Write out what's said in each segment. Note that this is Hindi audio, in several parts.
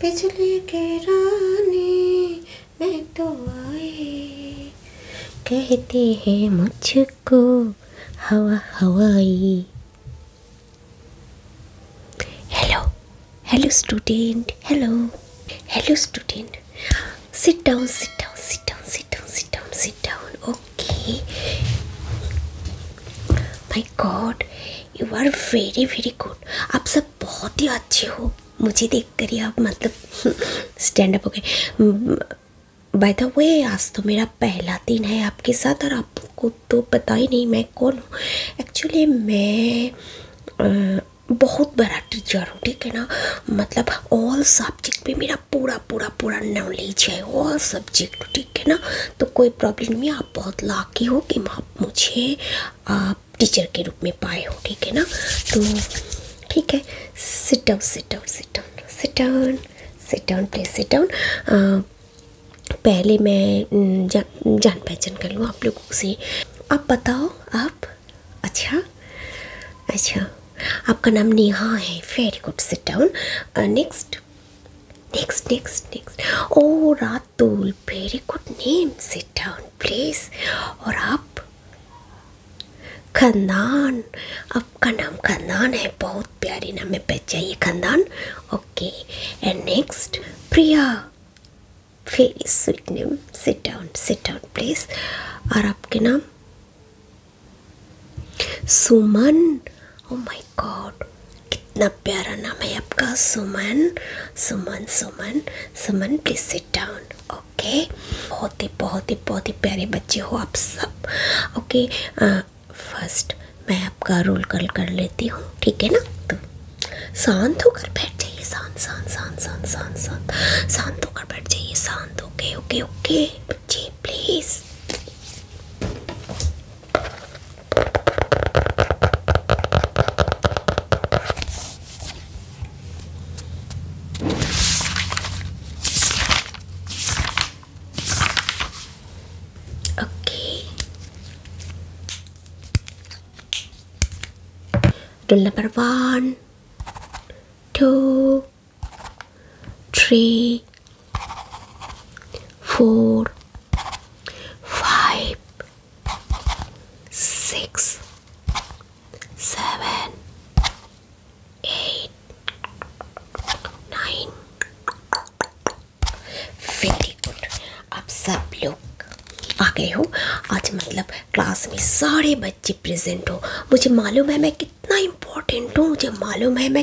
बिजली के रानी मैं तो आए कहते हैं मुझको हवा हवाई hello hello student hello hello student sit down sit down sit down sit down sit down sit down okay my god you are very very good आप सब बहुत ही अच्छे हो मुझे देख कर ही आप मतलब स्टैंड अप हो गए बाय द वे आज तो मेरा पहला दिन है आपके साथ और आपको तो पता ही नहीं मैं कौन हूँ एक्चुअली मैं आ, uh, बहुत बड़ा टीचर हूँ ठीक है ना मतलब ऑल सब्जेक्ट में मेरा पूरा पूरा पूरा नॉलेज है ऑल सब्जेक्ट ठीक है ना तो कोई प्रॉब्लम नहीं आप आप बहुत लाकी हो कि आप मुझे आप टीचर के रूप में पाए हो ठीक है ना तो ठीक है sit down sit down sit down sit down sit down please sit down पहले मैं जा, जान पहचान कर लूँ आप लोगों से आप बताओ आप अच्छा अच्छा आपका नाम नेहा है very good sit down next Next, next, next. Oh, Ratul, very good name. Sit down, please. और आप खंदान आपका नाम खंदान है बहुत प्यारी नाम है पहचाइए खंदान okay and next Priya very sweet name sit down sit down please और आपके नाम सुमन ओ माय गॉड कितना प्यारा नाम है आपका Suman Suman Suman Suman please sit down okay बहुत ही बहुत ही बहुत ही प्यारे बच्चे हो आप सब ओके फर्स्ट मैं आपका रोल कल कर लेती हूँ ठीक है ना तो शांत होकर बैठ जाइए शांत शांत शांत शांत शांत शांत शांत होकर बैठ जाइए शांत ओके ओके ओके बच्चे please Oke. Roll number one, two, three. four, five, six, seven, eight, nine. Very good आप सब लोग आ गए हो आज मतलब क्लास में सारे बच्चे प्रेजेंट हो मुझे मालूम है मैं कितना इम्पोर्टेंट हूँ मुझे मालूम है मैं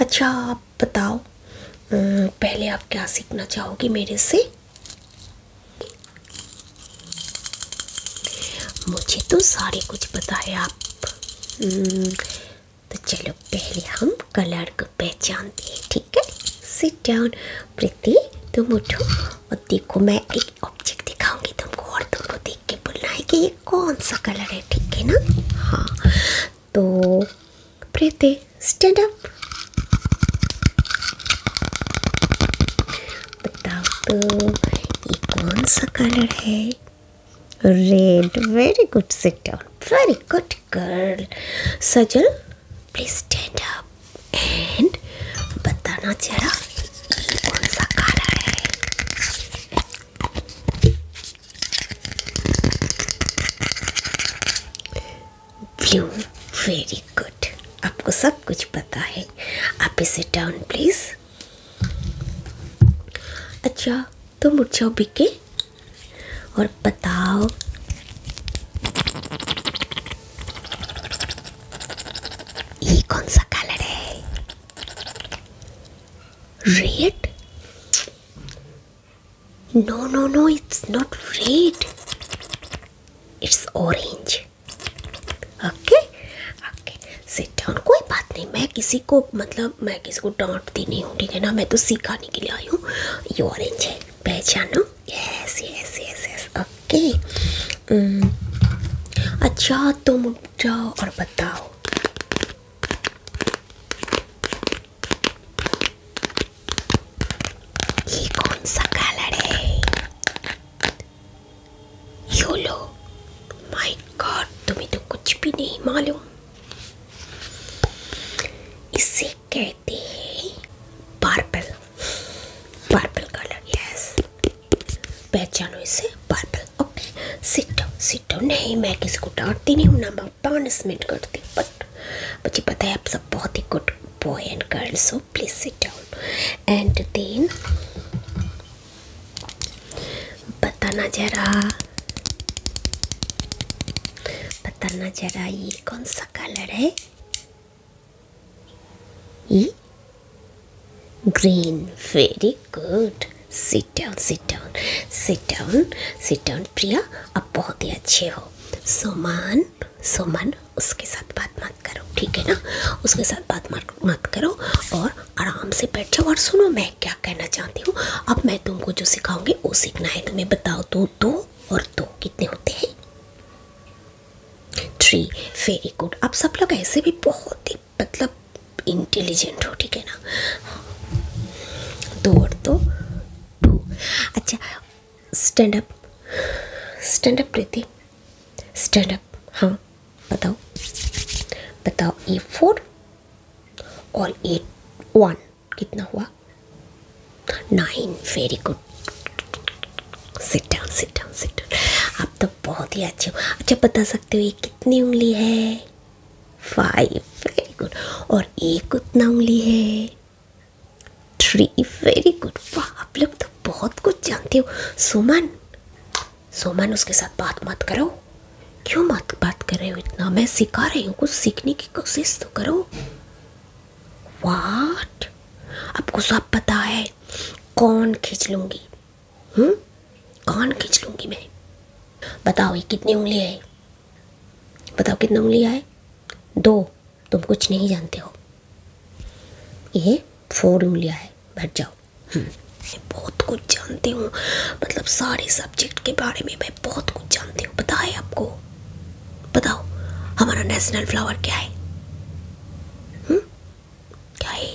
अच्छा आप बताओ अं, पहले आप क्या सीखना चाहोगे मेरे से मुझे तो सारे कुछ पता है आप अं, तो चलो पहले हम कलर को पहचानते हैं ठीक है सिट डाउन प्रीति तुम उठो और देखो मैं एक ऑब्जेक्ट दिखाऊंगी तुमको और तुमको देख के बोलना है कि ये कौन सा कलर है ठीक है ना हाँ तो प्रीति स्टैंड अप बताओ तो ये कौन सा कलर है red very good sit down very good girl Sajal please stand up and बताना जरा कौन सा कलर है व्यू वेरी गुड आपको सब कुछ पता है आप इसे डाउन प्लीज अच्छा तो उठ जाओ बिके और बताओ ये कौन सा कलर है red No, no, no, it's not red. It's orange. Okay? Okay. Sit down. कोई बात नहीं मैं किसी को मतलब मैं किसी को डांटती नहीं हूँ ठीक है ना मैं तो सिखाने के लिए आई हूँ ये ऑरेंज है पहचानो yes yes yes yes okay अच्छा तुम जाओ और बताओ कौन सा कलर है तुम्हें तो कुछ भी नहीं मालूम इसे कहते हैं पार्पल पार्पल कलर यस पहचानो इसे पार्पल ओके सिट सिट नहीं मैं किसी को डांटती नहीं हूँ ना मैं पानिशमेंट करती बट मुझे पता है आप सब बहुत ही good boy and girl so please sit down and then बताना जरा बताना जरा ये कौन सा कलर है ये green very good sit down sit down sit down sit down Priya अब बहुत ही अच्छे हो सोमान सोमान उसके साथ बात मत करो ठीक है ना उसके साथ बात मत करो और आराम से बैठ जाओ और सुनो मैं क्या कहना चाहती हूँ अब मैं तुमको जो सिखाऊंगी वो सीखना है तुम्हें बताओ तो दो और दो कितने होते हैं थ्री वेरी गुड आप सब लोग ऐसे भी बहुत ही मतलब इंटेलिजेंट हो ठीक है ना दो और दो तो टू अच्छा stand up stand up Preeti stand up हाँ बताओ बताओ ए फोर और ए वन कितना हुआ nine very good sit down sit down sit down आप तो बहुत ही अच्छे हो अच्छा बता सकते हो ये कितनी उंगली है फाइव वेरी गुड और एक उतना उंगली है थ्री वेरी गुड वाह आप लोग तो बहुत कुछ जानते हो सुमन सुमन उसके साथ बात मत करो क्यों मत बात कर रहे हो इतना मैं सिखा रही हूँ कुछ सीखने की कोशिश तो करो वाट आपको सब पता है कौन खींच लूंगी हम्म कान खींच लूंगी मैं बताओ ये कितनी उंगली है बताओ कितनी उंगलियाँ है दो तुम कुछ नहीं जानते हो ये फोर उंगलियाँ है बैठ जाओ हम्म। मैं बहुत कुछ जानती हूँ मतलब सारे सब्जेक्ट के बारे में मैं बहुत कुछ जानती हूँ पता है आपको बताओ हमारा नेशनल फ्लावर क्या है हुँ? हम्म? क्या है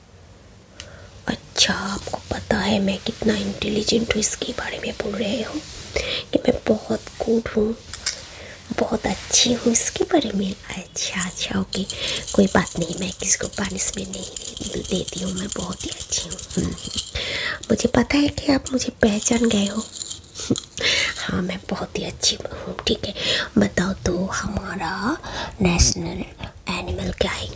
अच्छा आपको पता है मैं कितना इंटेलिजेंट हूँ इसके बारे में बोल रहे हो कि मैं बहुत गुड हूँ बहुत अच्छी हूँ इसके बारे में अच्छा अच्छा ओके कोई बात नहीं मैं किसी को पनिशमेंट नहीं देती हूँ मैं बहुत ही अच्छी हूँ हम्म, मुझे पता है कि आप मुझे पहचान गए हो हाँ मैं बहुत ही अच्छी हूँ ठीक है बताओ तो हमारा नेशनल एनिमल क्या है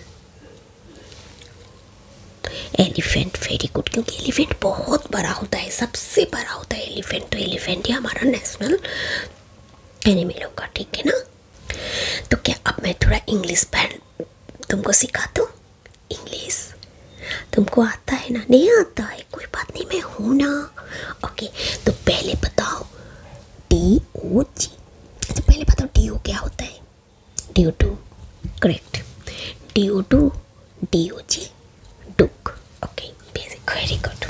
एलिफेंट वेरी गुड क्योंकि एलिफेंट बहुत बड़ा होता है सबसे बड़ा होता है एलिफेंट तो एलिफेंट ही हमारा नेशनल एनिमल होगा ठीक है ना तो क्या अब मैं थोड़ा इंग्लिश पढ़ तुमको सिखा दूँ इंग्लिश तुमको आता है ना नहीं आता है कोई बात नहीं मैं हूँ ना ओके तो पहले बताओ डी ओ जी अच्छा पहले बताओ डी ओ क्या होता है DO2 correct DO2 DOG Duke okay basic very good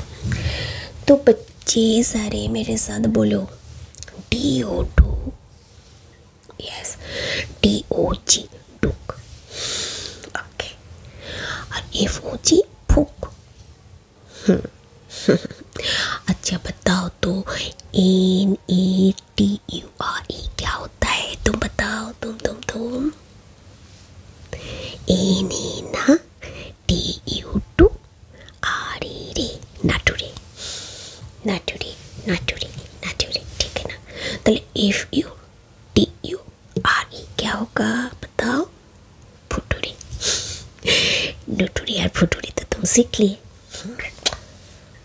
तो बच्चे सारे मेरे साथ बोलो DO2 yes DOG Duke okay और FOG Book हम्म अच्छा बताओ तो N A T U R E क्या होता है तुम बताओ तुम तुम तुम एन ए ना T U two R E e रे नाटुरे नाटुरे नाटुरे नाटुरे ठीक है ना तो F U T U R E क्या होगा बताओ फुटुरी नटुरी और फुटुरी तो तुम सीख लिए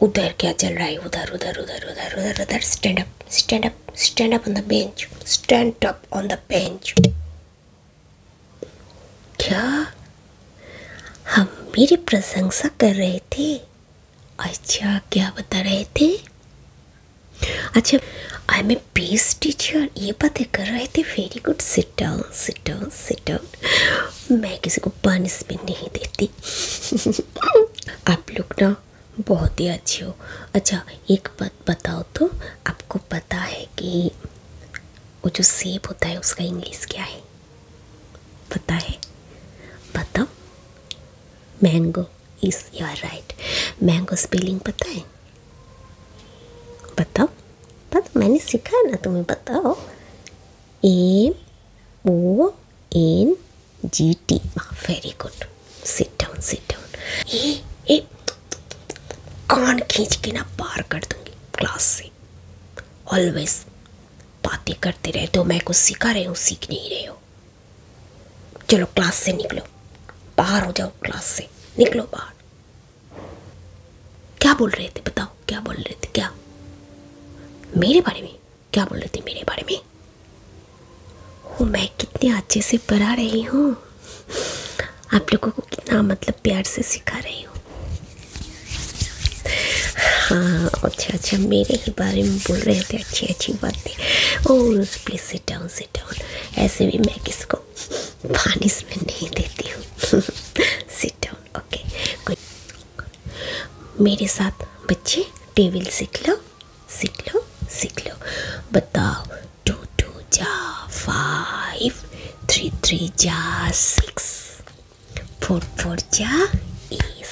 उधर क्या चल रहा है उधर उधर उधर उधर उधर उधर stand up stand up stand up on the bench stand up on the bench क्या हम मेरी प्रशंसा कर रहे थे अच्छा क्या बता रहे थे अच्छा I am a peace teacher ये बातें कर रहे थे वेरी गुड से sit down sit down sit down मैं किसी को पनिशमेंट नहीं देती आप लोग ना बहुत ही अच्छे हो अच्छा एक बात बताओ तो आपको पता है कि वो जो सेब होता है उसका इंग्लिश क्या है पता है बताओ mango is your right mango spelling पता है बताओ पता मैंने सीखा है ना तुम्हें बताओ M O N G T very good Sit down, sit down. ए, ए, कान खींच के ना पार कर दूंगी क्लास से ऑलवेज बातें करते रहे तो मैं कुछ सिखा रही हूँ सीख नहीं रहे हो चलो क्लास से निकलो बाहर हो जाओ क्लास से निकलो बाहर क्या बोल रहे थे बताओ क्या बोल रहे थे क्या मेरे बारे में क्या बोल रहे थे मेरे बारे में ओ मैं कितने अच्छे से पढ़ा रही हूँ आप लोगों को कितना मतलब प्यार से सिखा रही हूँ हाँ अच्छा अच्छा मेरे ही बारे में बोल रहे थे अच्छी अच्छी बातें और please sit down sit down ऐसे भी मैं किसको पानिशमेंट नहीं देती हूँ sit down okay good मेरे साथ बच्चे टेबल सीख लो सीख लो सीख लो बताओ टू टू जा फाइव थ्री थ्री जा सिक्स फोर फोर जा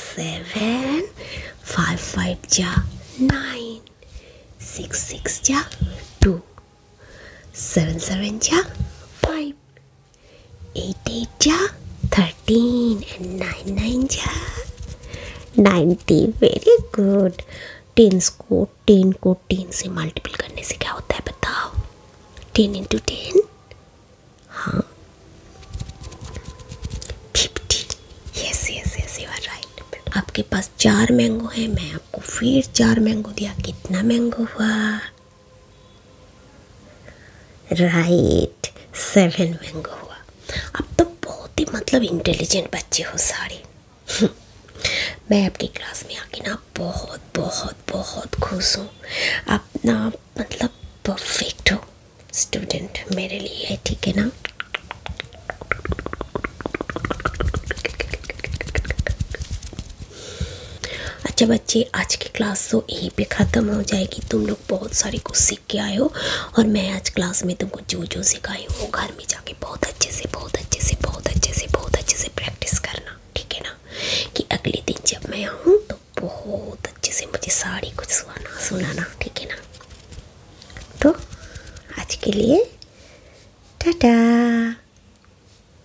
सेवन फाइव फाइव जा नाइन सिक्स सिक्स जा टू सेवन सेवन जा five 8 8 ja 13 and 9 9 ja 90 very good tens को टेन को टेन से मल्टीपल करने से क्या होता है बताओ टेन इंटू टेन हाँ fifteen yes yes yes you are आपके पास चार मैंगो है मैं आपको फिर चार मैंगो दिया कितना मैंगो हुआ राइट सेवन मैंगो हुआ अब तो बहुत ही मतलब इंटेलिजेंट बच्चे हो सारे मैं आपकी क्लास में आके ना बहुत बहुत बहुत खुश हूँ आप ना मतलब परफेक्ट हो स्टूडेंट मेरे लिए है ठीक है ना अच्छा बच्चे आज की क्लास तो यहीं पे ख़त्म हो जाएगी तुम लोग बहुत सारे कुछ सीख के आए हो और मैं आज क्लास में तुमको जो जो सिखाई हो घर में जाके बहुत अच्छे से बहुत अच्छे से बहुत अच्छे से बहुत अच्छे से प्रैक्टिस करना ठीक है ना कि अगले दिन जब मैं आऊँ तो बहुत अच्छे से मुझे सारी कुछ सुनाना सुनाना ठीक है ना तो आज के लिए टाटा